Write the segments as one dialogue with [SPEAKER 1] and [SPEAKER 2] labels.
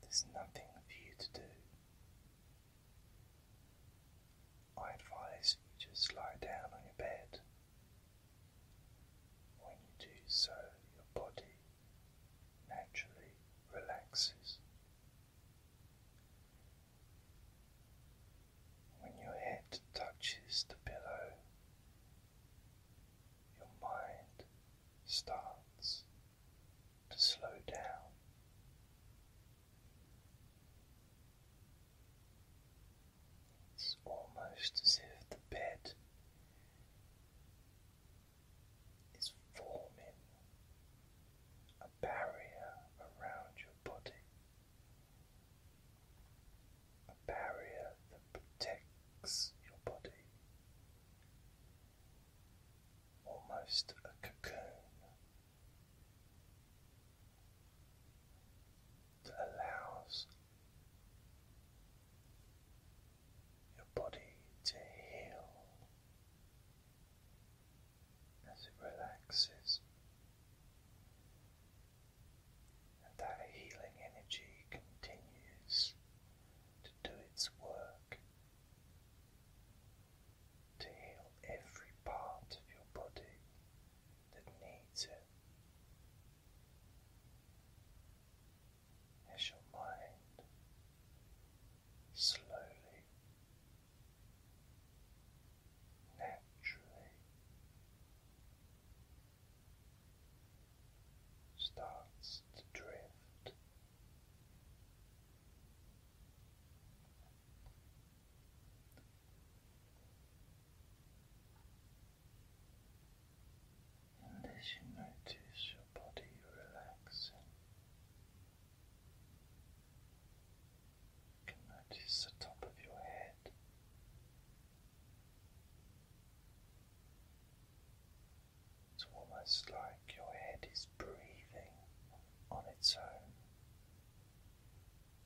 [SPEAKER 1] There's nothing for you to do. I advise you just lie down on your bed. When you do so, your body naturally relaxes. When your head touches the pillow, your mind starts to slow down. It's almost as if the bed is forming a barrier around your body, a barrier that protects your body almost a cocoon that allows your body to heal as it relaxes. And that healing energy continues to do its work to heal every part of your body that needs it. As your mind slowly, naturally starts to drift. And as you notice your body relaxing, you can notice the top of your head. It's almost like your head is breathing on its own.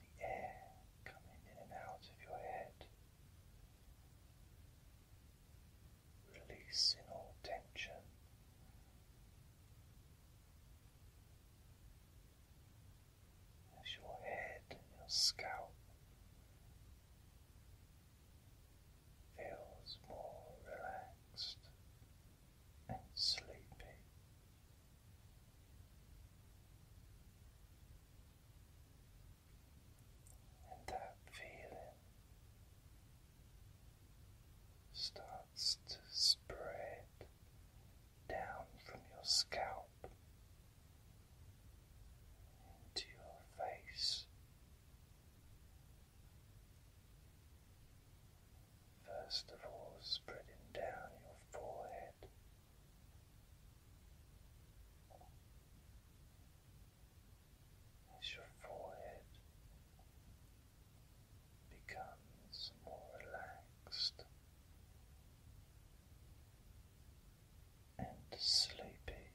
[SPEAKER 1] The air coming in and out of your head, releasing all tension. As your head your scalp feels more relaxed and sleepy. And that feeling starts to spread down from your scalp into your face First of all, spreading down your forehead. As your forehead becomes more relaxed and sleepy,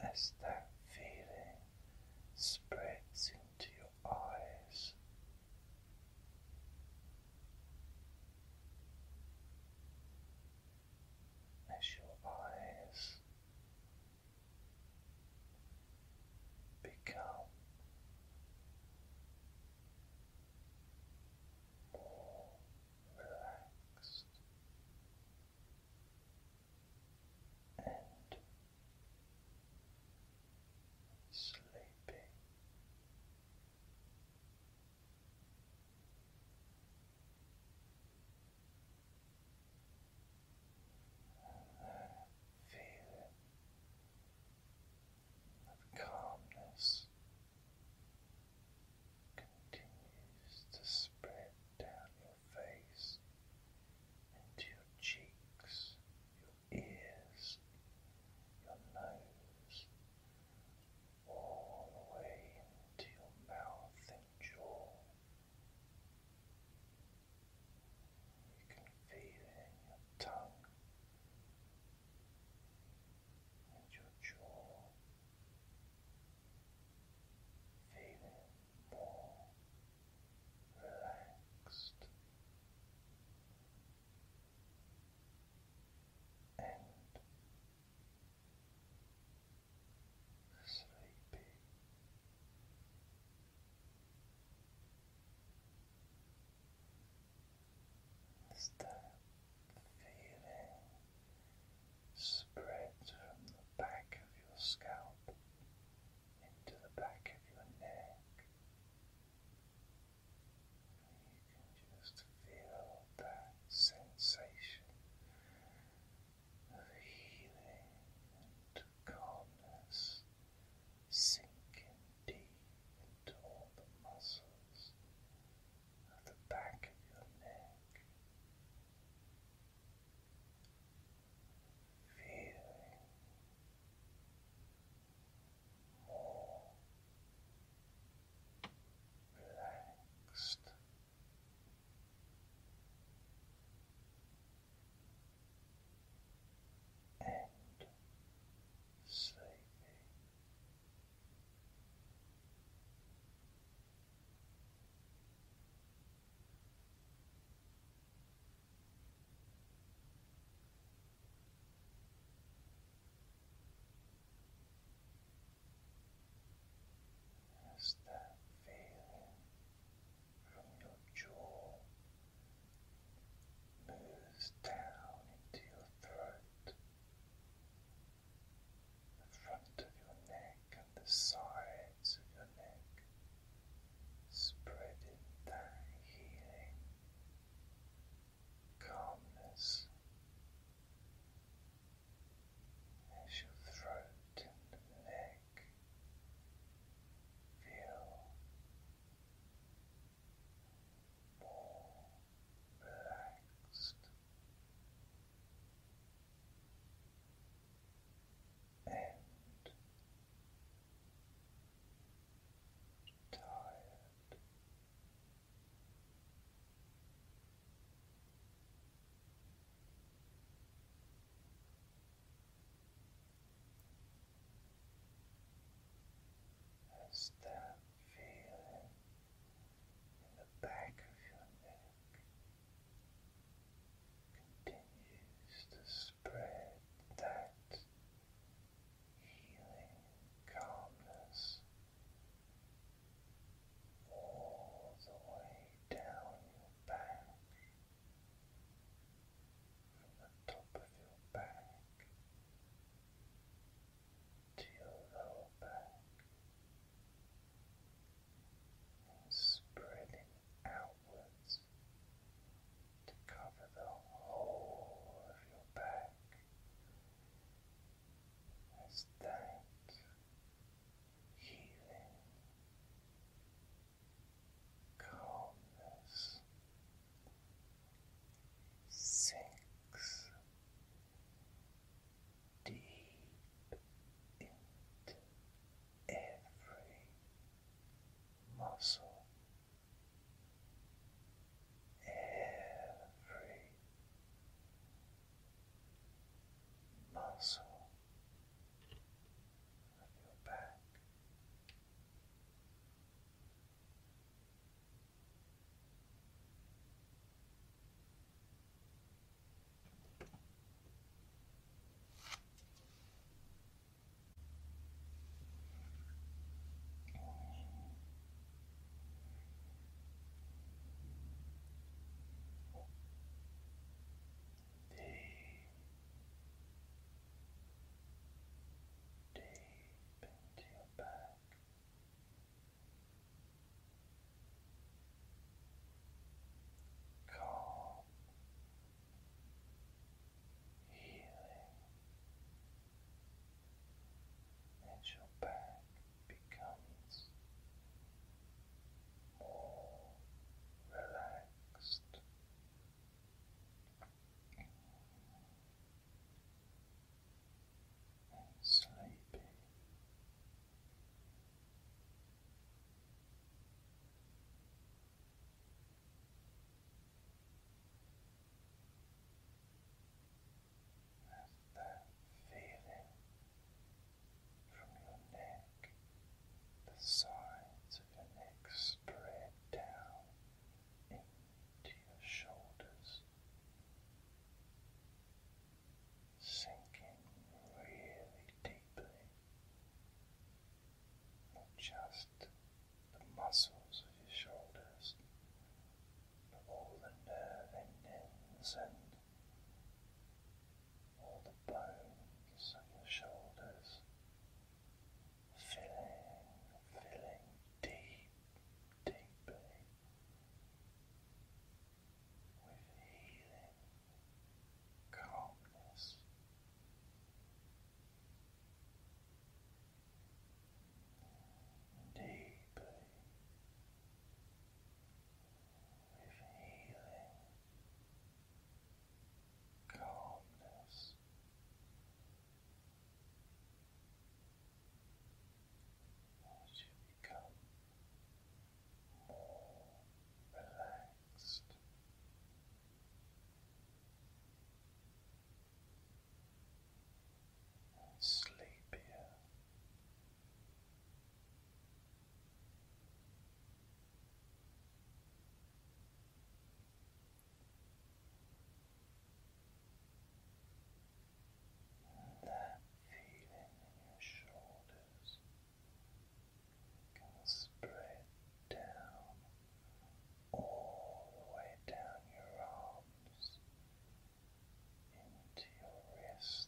[SPEAKER 1] as that feeling spreads into your eyes, as your eyes become more relaxed and sleepy. And feeling of calmness continues to spread down your face into your cheeks, your ears, your nose, all the way into your mouth and jaw. You can feel it in your tongue and your jaw feeling more relaxed and sleepy. As that feeling spreads from the back of your scalp into the back of your neck, you can just feel that sensation of healing and calmness sink deep into all the muscles at the back of your neck. Feeling more relaxed. And sleeping. As that feeling from your jaw moves down into your throat the front of your neck and the sides of your neck, spreading that healing calmness as your throat and neck feel more relaxed. And tired, as that feeling in the back of your neck continues to spread that healing calmness all the way down your back from the top of your back to your lower back and spreading outwards to cover the whole of your back as that healing calmness six deep into every muscle, every muscle of your back. Deep into your back calm, healing, and your back becomes more relaxed and sleepy. that feeling from your neck, the sides of your neck spread down into to your shoulders, sinking really deeply, not just the muscles of your shoulders, but all the nerve endings and all the bones of your shoulders. Filling, filling deep, deeply with healing calmness. Deeply with healing calmness as you become more relaxed. And sleepier. And that feeling in your shoulders can spread down all the way down your arms into your wrists,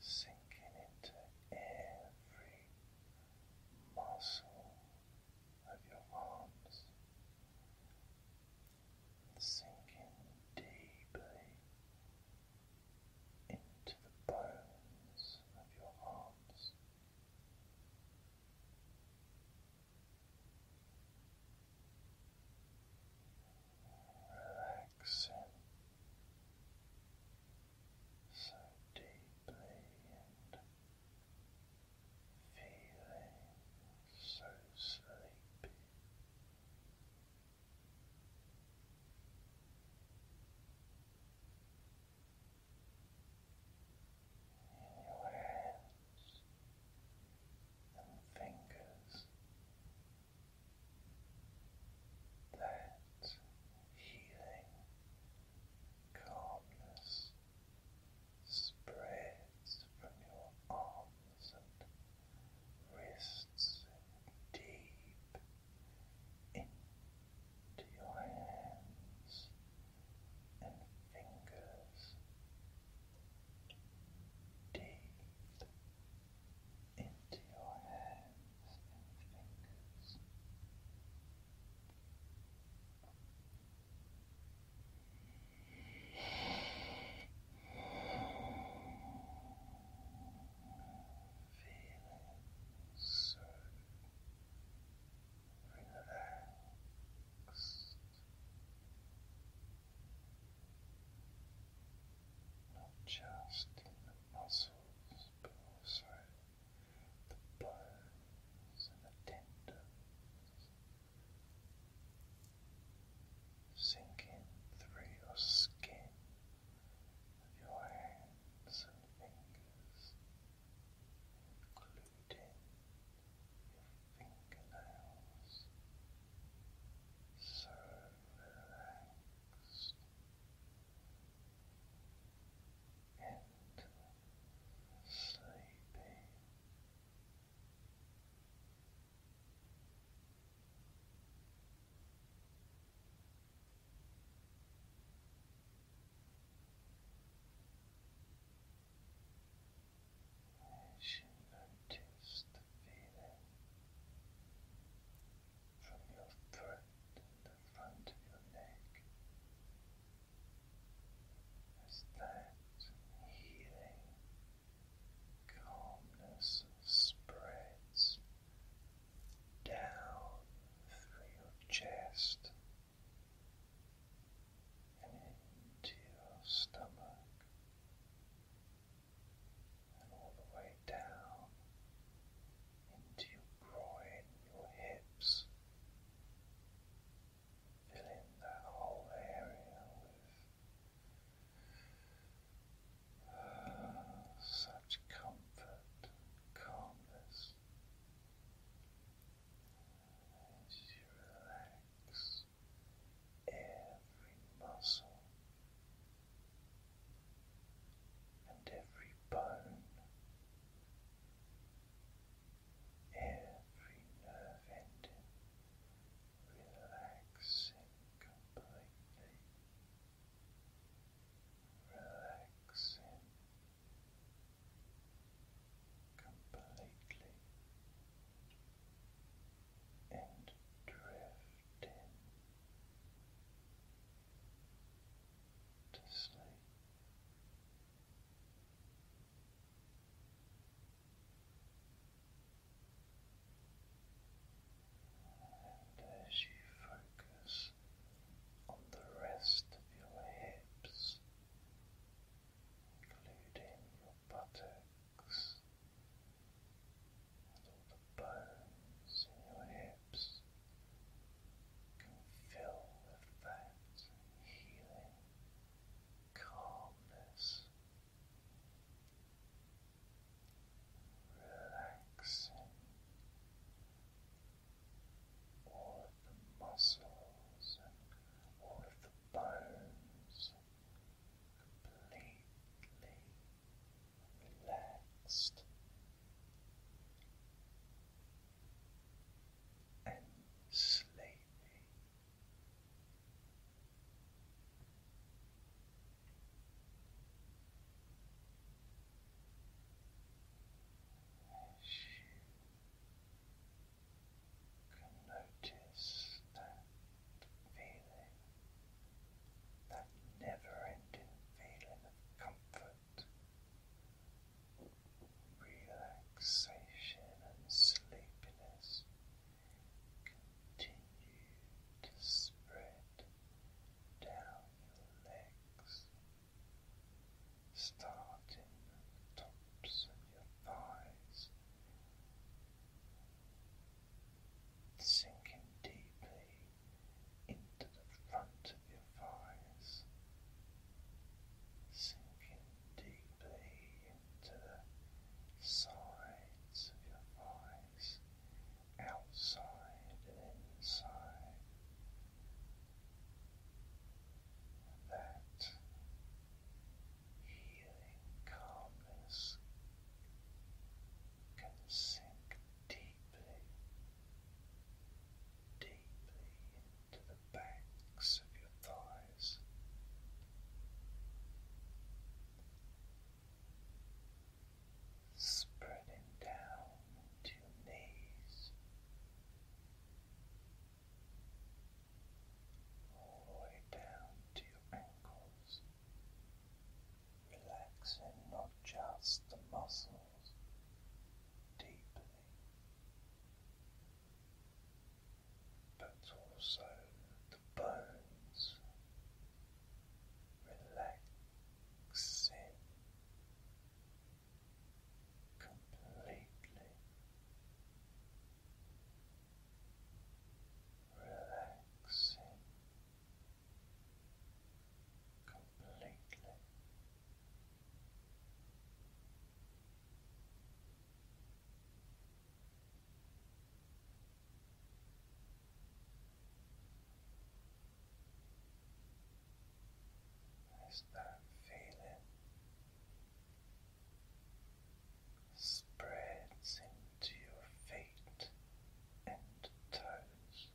[SPEAKER 1] sinking into every muscle of your arms, sinking deeply into the bones of your arms. Relaxing so deeply and feeling so sleepy. In your hands and fingers, that healing calmness spreads from your arms and wrists deep into your hands and fingers, deep into your hands and fingers. Feeling so relaxed. Not just in the muscles, but also the bones and the tendons sinking through your skin your hands fingers, including your fingernails, so relaxed sleepy. As you notice the feeling from your throat and the front of your neck as that healing calmness spreads down through your chest and into your stomach and all the way down into your groin, your hips, Fill in that whole area with uh, such comfort calmness as you relax every muscle and every bone every nerve ending relaxing completely, relaxing completely and drifting to sleep. And as you focus on the rest of your hips, including your buttocks and all the bones in your hips, can fill with that healing calmness, relaxing all of the muscles and all of the bones completely relaxed. And sleepy, as you can notice that feeling, that never ending feeling of comfort relaxation and sleepiness continue to spread down your legs, starting at the tops of your thighs, sinking deeply into the front of your thighs, sinking deeply into the sides of your thighs, outside and inside. That healing calmness can sink deeply, deeply into the of your thighs. Spreading down to knees, all the way down to your ankles, relaxing not just the muscles deeply, but also the bones relaxing completely. Relaxing completely, there's that feeling spreads into your feet and toes.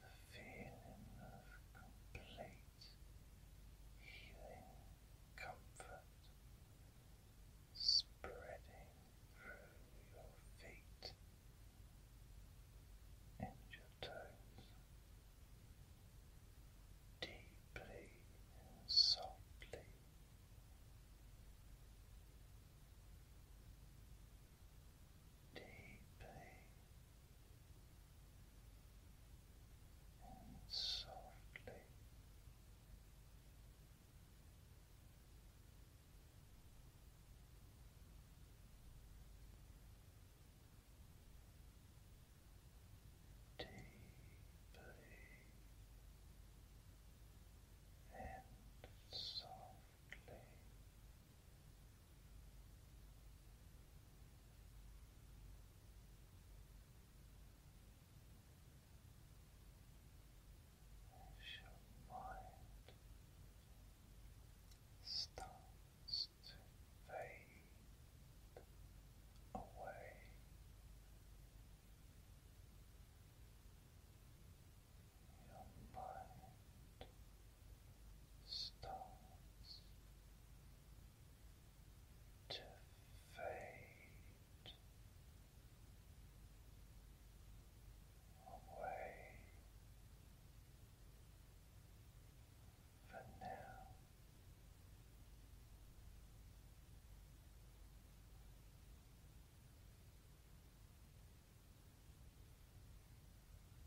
[SPEAKER 1] The feeling of complete healing comfort spreading through your feet and your toes deeply and softly. Deeply and softly. Deeply and softly as your mind starts to away. Your mind starts to fade away for now.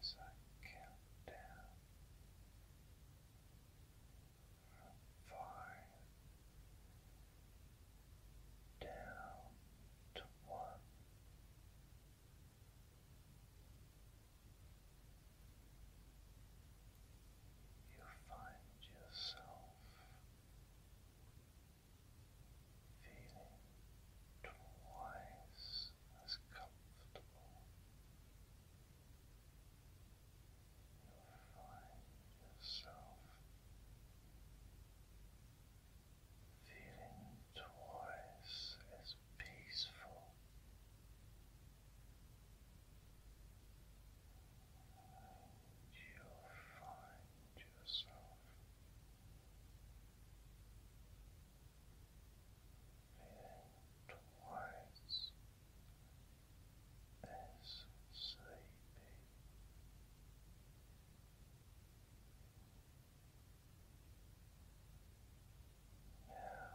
[SPEAKER 1] as I count down five down to one. You find yourself feeling twice is as comfortable. You'll find yourself feeling twice as peaceful and you'll find yourself Feeling twice as sleepy. five